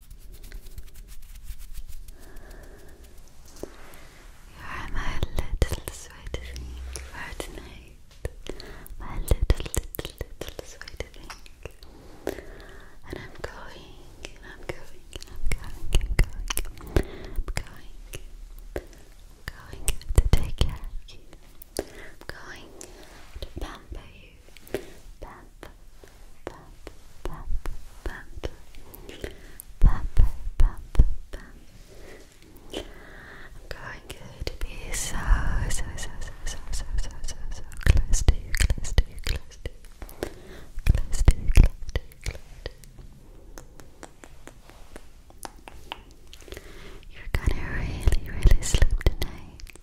You're my little sweet thing My little, little, little sweet thing. And I'm going, and I'm going, and I'm going, and I'm going. I'm going. going to take care of you. I'm going to pamper you. Pep, pep, pep, pep. Pep, pep, pep. I'm going to be so, so, so, so, so, so, so, so, so close to you, close to you, close to you. Close to you, close to you, close to you. You're gonna really, really sleep tonight.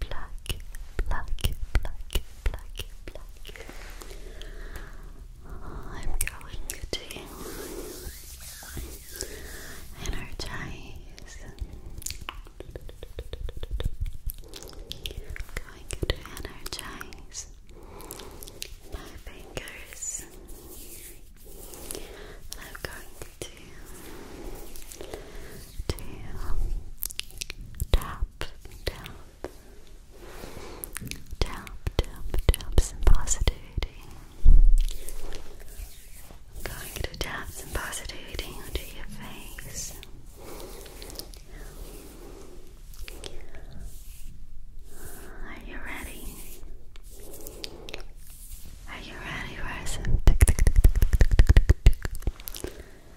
black, black, black, black, black. I'm going to energize. going to energize my fingers. I'm going to tap, tap, tap, tap, tap, tap positivity. going to tap some positivity onto your face. Are you ready? Are you ready for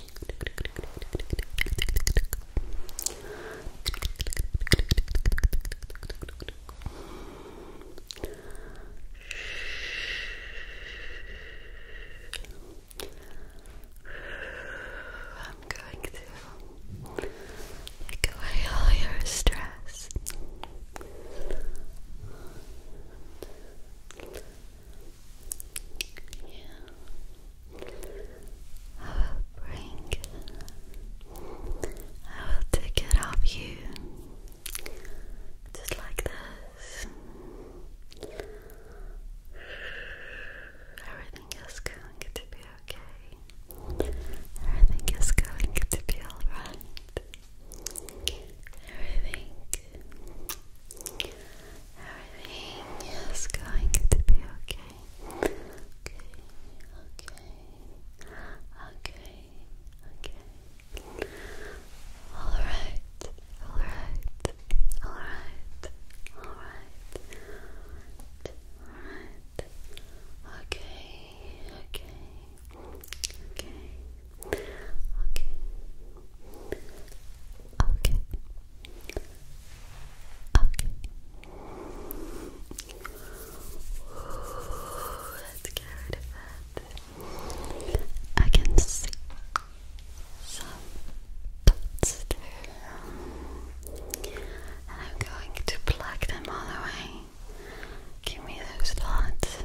I'm going to take away all your stress you. I will bring, I will take it off you, just like this. Everything is going to be okay. Everything is going to be alright. Everything Everything is going to be okay. Okay, okay, okay, okay. Alright, alright, alright, alright. Alright. Okay, okay, okay. Okay. Okay. Okay. Ooh, let I can see some dots I'm going to plug them all away. Give me those thoughts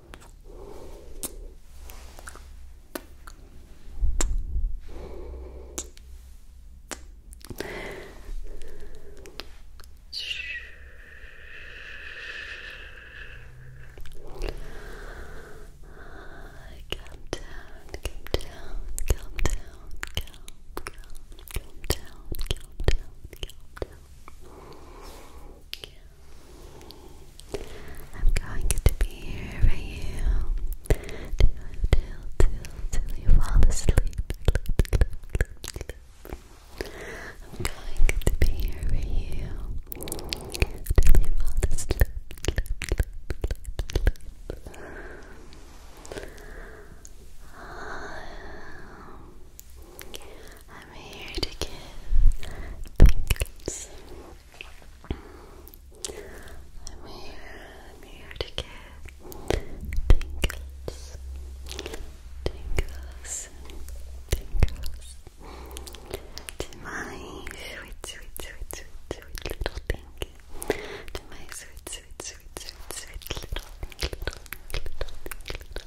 Calm down, calm down, calm down, calm, calm, calm down, calm down, calm down. I'm going to be here for you till, till, till, till you fall asleep. I'm going to be here for you till you fall asleep. I'm here to give pinkles. I'm here, here to give pinkles. Tingles, tingles to my sweet, sweet, sweet, sweet, sweet little pinky. To my sweet, sweet, sweet, sweet, sweet little little little little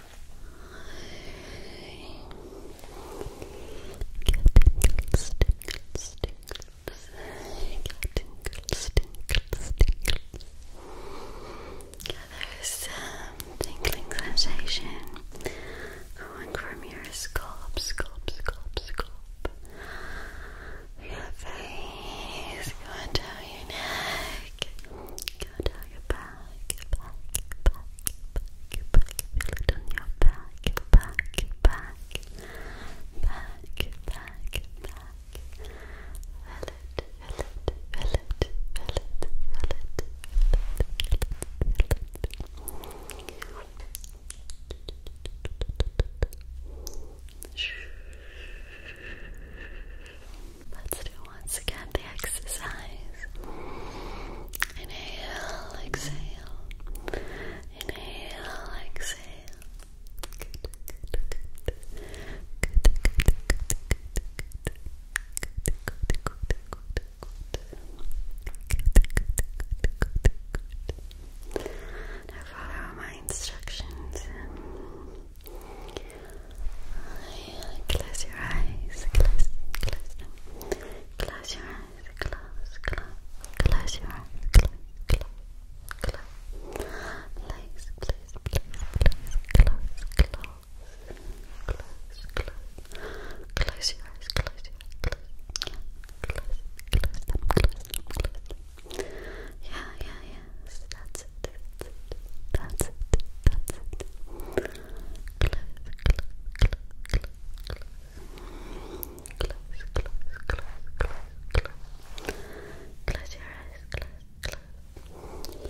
Yeah, there's some tingling sensation going from your scalp, scalp, scalp, scalp. Your face, going your neck, go down your back, back, back, back, back. Feel it on your back, back, back, back, back, back. Feel it, feel it, feel it, feel it, feel it, feel it, feel it. Let's do once again the exercise. Inhale, exhale. Inhale, exhale. Now follow my instructions. Close your eyes. Close, close them. Close your eyes. Close, close. Close your eyes. Close, close, close. Legs, please, please, please. Close, close, close, close. Close your eyes. Close your eyes. Close, yeah. Close, close them. Close them. Close them. Yeah, yeah, yeah. That's it. That's it. That's it. That's it close your eyes, close, close, close your eyes, close, close, close.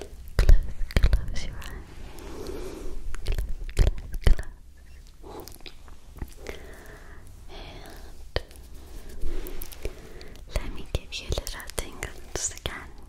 And let me give you a little tingles again.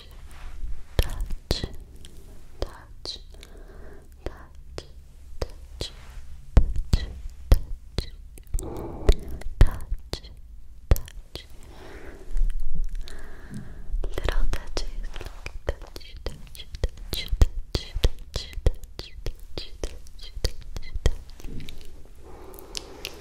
touch, touch, touch, touch, touch, touch, touch, touch. Little touches, touch, touch, touch, touch, touch, touch, touch, touch, touch, touch.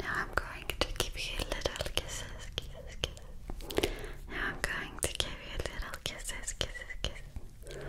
Now I'm going to give you little kisses, kisses, kisses. Now I'm going to give you little kisses, kisses, kisses. Now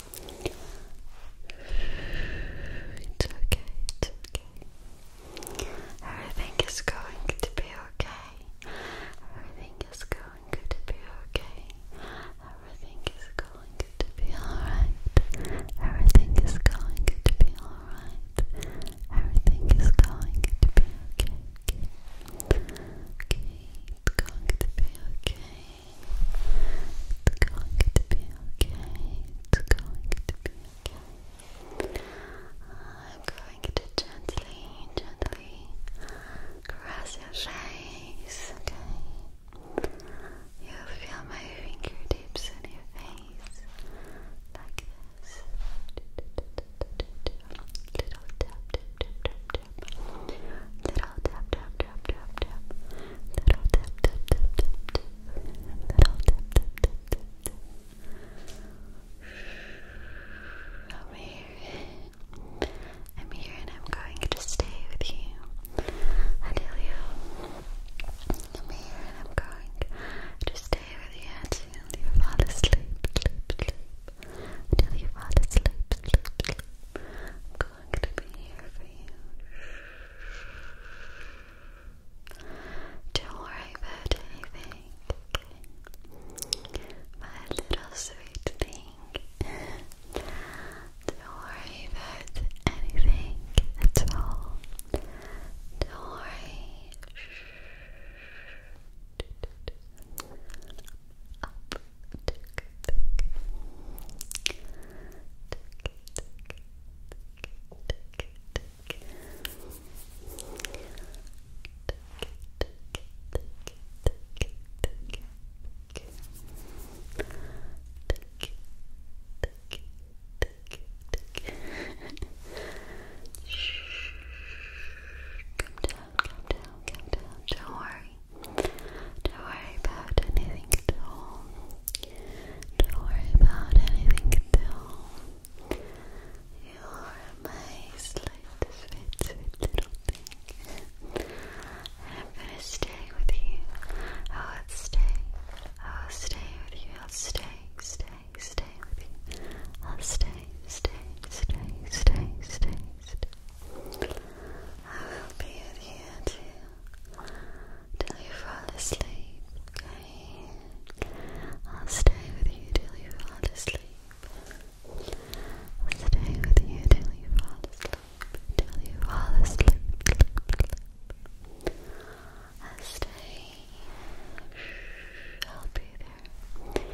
It's okay, Everything is going to be okay. Everything is going to be okay. Everything is going to be alright. Everything is going to be alright. Everything is going to be okay. Okay, it's going to be okay. I'm going to gently, gently cross your face, okay? You feel my fingertips on your face like this. Little tap, tap, tap, tap, tap. Little tap, tap, tap, tap, tap. Little tip, tip, tip, tip, tip. Little tip, tip, tip, tip, tip. Over here. I'm here and I'm going to stay with you. I I'm here and I'm going to stay with you until you fall asleep, sleep, sleep. Until you fall asleep, sleep, sleep going Don't worry about anything, My little sweet thing. Don't worry about anything at all. Don't Come down, come down, come down. Don't worry, worry. Don't worry about anything at all. Don't worry about anything at all. You're my slight, sweet, sweet little thing. I'm gonna stay with you. I'll stay. I'll stay with you. I'll stay, stay, stay with you. I'll stay, stay, stay, stay, stay, stay. I will be with you until till you fall asleep, okay? I'll stay with you till you fall asleep. I'll stay with you till you fall asleep, till you fall asleep. I'll stay. I'll be there.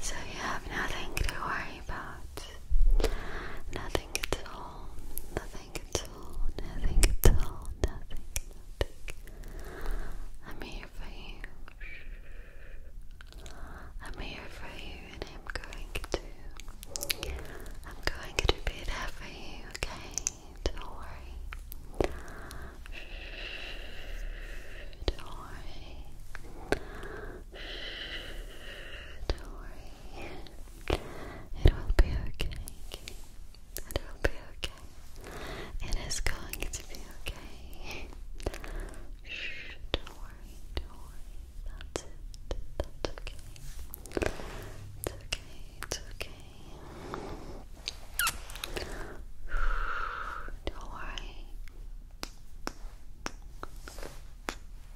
So you have nothing to worry about. Nothing at all. Nothing at all. Nothing at all. Nothing. I'm here for you. I'm here for you, and I'm going to. I'm going to be there for you. Okay. Don't worry. Don't worry. Don't worry, it will be okay. It will be okay. It is going to be okay. Shh, don't worry, don't worry. That's it. That's okay. It's okay, it's okay. Don't worry.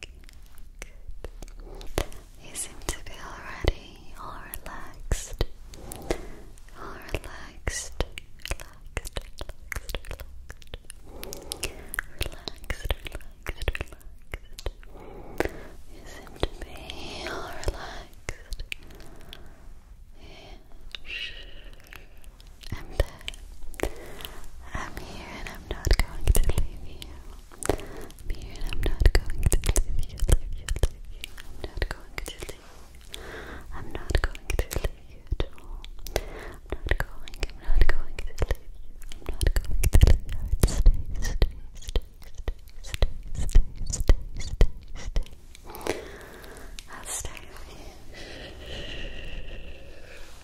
Good. You seem to be already all relaxed. All relaxed. Relaxed, relaxed, relaxed. Relaxed, relaxed, You seem to be all relaxed. Yeah. I'm there. here and I'm not going to leave you. I'm here and I'm not going to leave you, leave you, leave you. I'm not going to leave I'm not going to leave at all. not going, I'm not going to leave I'm not going to leave I'd stay, stay, stay, stay, stay, stay, stay, stay, stay. I'll stay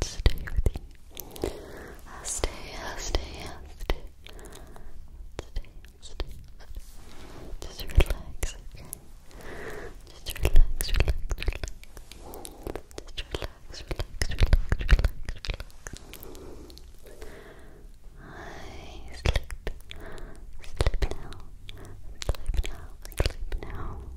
stay I'll stay, I'll stay, I'll stay. I'll stay, I'll stay, I'll stay. Just relax, okay? Just relax, relax, relax. Just relax, relax, relax, relax, relax. I sleep. Sleep now. Sleep now. Sleep now.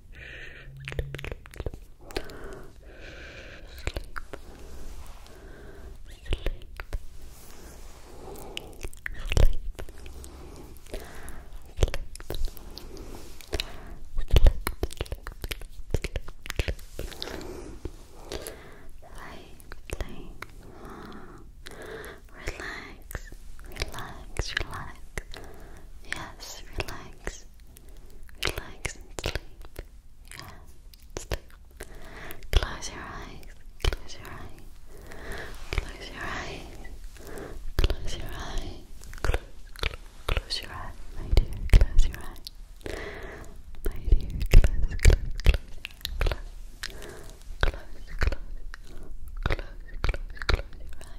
Relax, relax, relax. Yeah, relax. Relax and sleep. Yeah, sleep. Close your eyes. Close your eyes. Close your eyes. Close your eyes. Close, close, close your eyes, my dear. Close your eyes. My dear, close, close, close, close. Close, close, close, close, close your eyes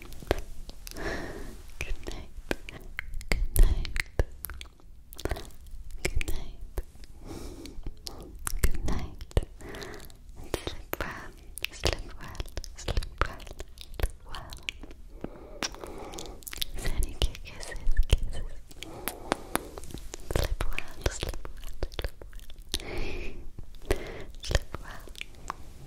Good night. Good night. Good night. Good night. And sleep well. Sleep well. Sleep well. Sleep well. Sending you kisses, kisses. Sleep well. Sleep well. Sleep well. Sleep well.